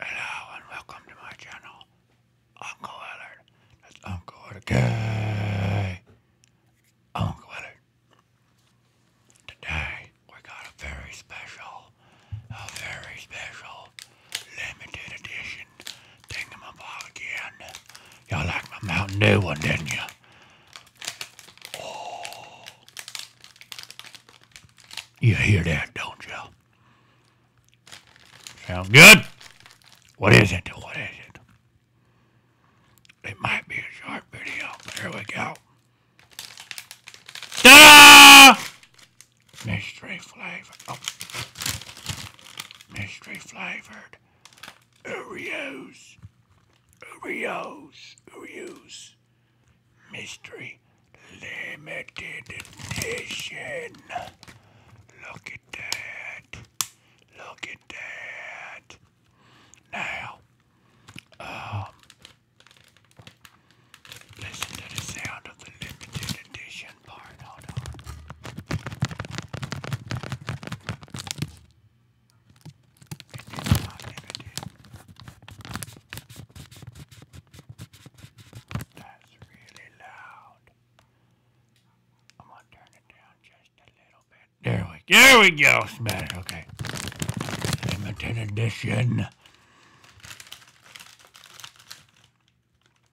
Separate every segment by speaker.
Speaker 1: Hello and welcome to my channel, Uncle Willard. That's Uncle Willard Gay. Uncle Willard. Today we got a very special, a very special limited edition thingamabog again. Y'all like my Mountain Dew one, didn't you? Oh. You hear that, don't you? Sound good? What is it? What is it? It might be a short video, but we go. ta Mystery flavored. Oh. Mystery flavored. Oreos. Oreos. Oreos. Mystery Limited Edition. Look at that. Look at that. Now, um, listen to the sound of the limited edition part. Hold on. That's really loud. I'm gonna turn it down just a little bit. There we there we go. Smash. Okay. Limited edition.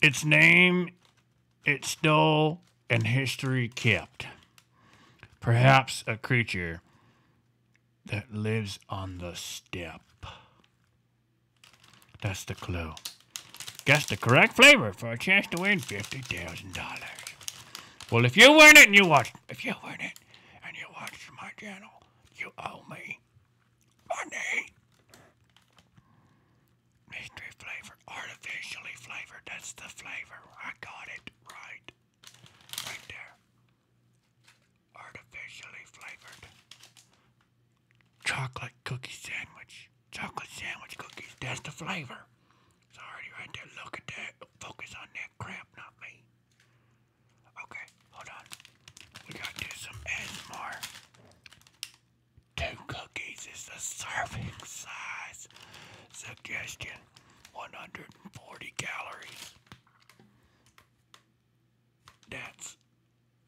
Speaker 1: Its name, its stole, and history kept. Perhaps a creature that lives on the steppe. That's the clue. Guess the correct flavor for a chance to win $50,000. Well, if you win it and you watch, if you win it and you watch my channel, you owe me money. Mystery flavor, artificially flavored. That's the flavor. I got it right. Right there artificially flavored chocolate cookie sandwich. Chocolate sandwich cookies, that's the flavor. It's already right there. Look at that. Focus on that crap, not me. Okay, hold on. We gotta do some more. Two cookies is the serving size. Suggestion 140 calories. That's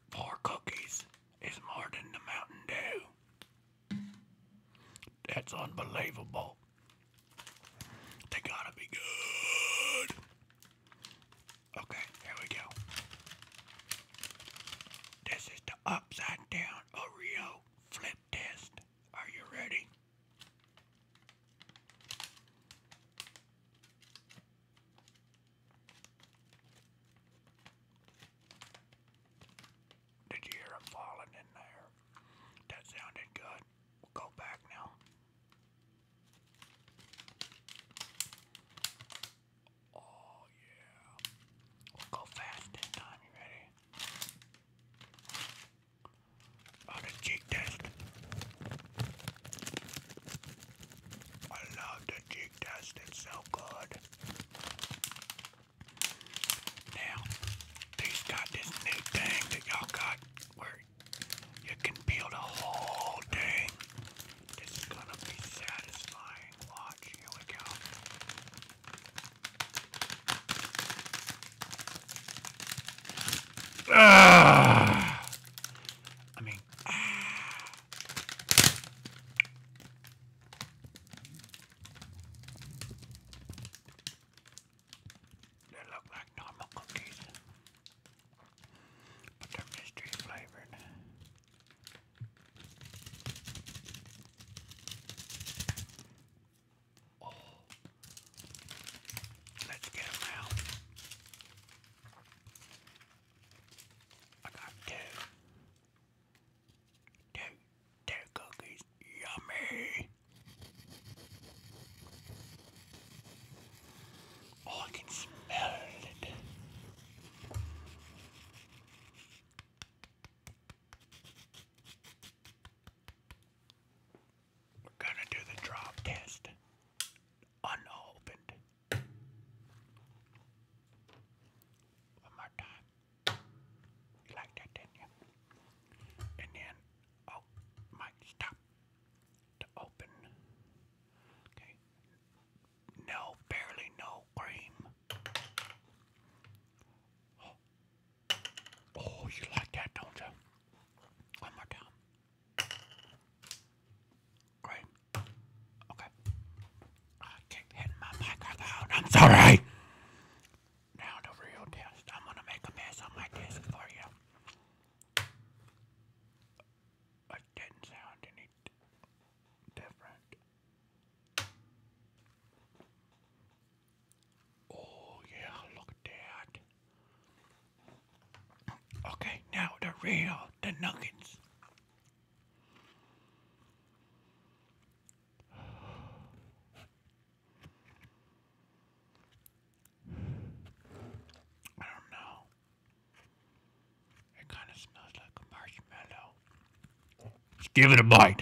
Speaker 1: four cookies It's more than the Mountain Dew. That's unbelievable. They gotta be good. Okay, here we go. This is the upside down Oreo flip test. Are you ready? Did you hear him falling in there? That sounded good. We'll go back now. Oh yeah. We'll go fast this time, you ready? On a cheek test. I love the jig test, it's so good. Now, these got this new thing that y'all got where you can peel the whole thing. This is gonna be satisfying. Watch, here we go. Ah, I mean, they look like normal cookies, but they're mystery flavored. Oh, let's get them I got two. cookies. Yummy. Oh, I can smell it. We're gonna do the drop test. Unopened. One more time. You like that, didn't you? And then, oh, Mike, stop. To open. Okay. No, barely no cream. Oh. you like that, don't you? One more time. Great. Okay. I keep hitting my microphone. I'm sorry. Now the real test. I'm gonna make a mess on my desk for you. It didn't sound any different. Oh yeah, look at that. Okay, now the real, the nuggets. I don't know. It kind of smells like a marshmallow. Let's give it a bite.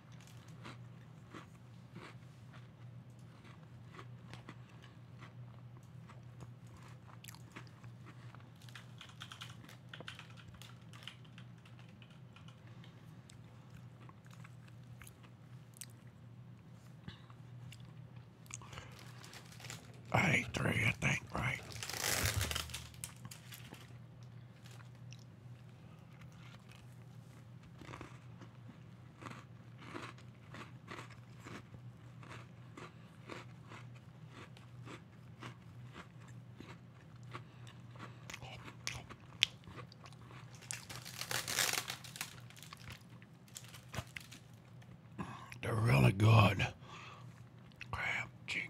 Speaker 1: I three, I think, right? They're really good. Crab cheek.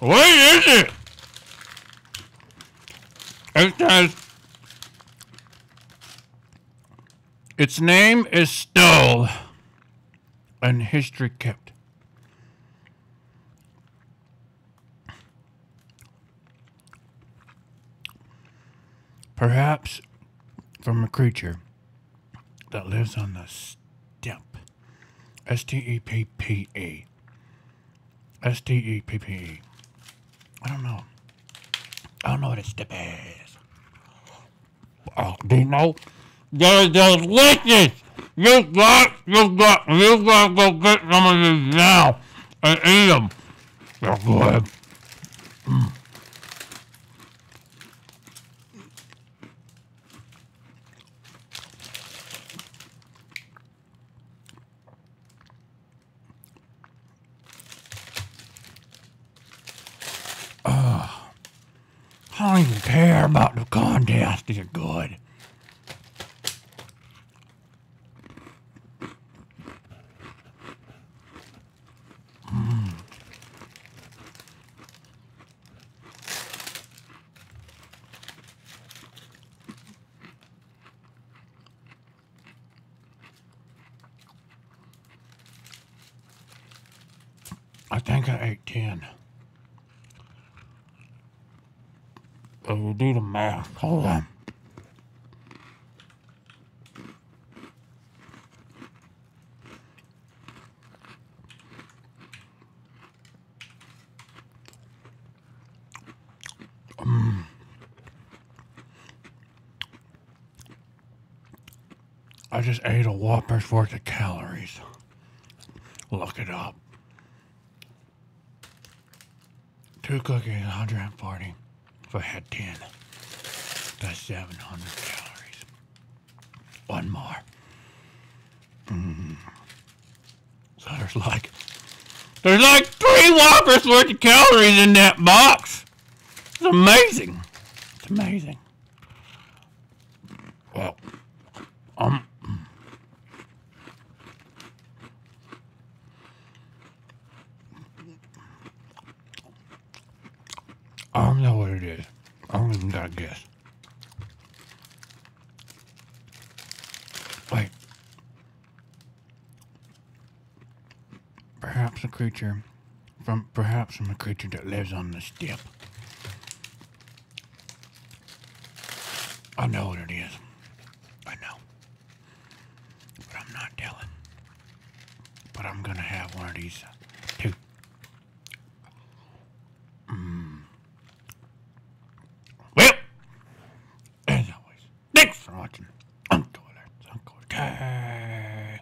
Speaker 1: What is it? It says its name is still in history kept. Perhaps from a creature that lives on the steppe. S T E P P E. S T E P P E. I don't know. I don't know what a to be. Oh, do you know? they just delicious! You got, you got, you gotta go get some of these now and eat them. They're good. Oh, I don't even care about the contest. Is it good? I think I ate 10. I will do the math. Hold on. Mm. I just ate a Whopper's worth of calories. Look it up. Two cookies, 140. If I had 10, that's 700 calories. One more. So there's like there's like three whoppers worth of calories in that box. It's amazing. It's amazing. Well, um. I don't know what it is. I don't even gotta guess. Wait. Perhaps a creature from perhaps from a creature that lives on the step. I know what it is. I know. But I'm not telling. But I'm gonna have one of these too. Well, as always, thanks for watching. I'm Twitter. I'm Twitter. Okay.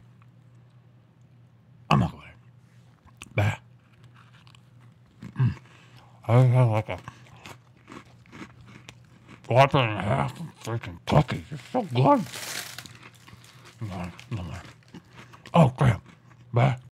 Speaker 1: I'm not Twitter. Bye. Mm. I do like a whopper and a half of freaking cookies. It's so good. No, no, no. Oh, crap. Bye.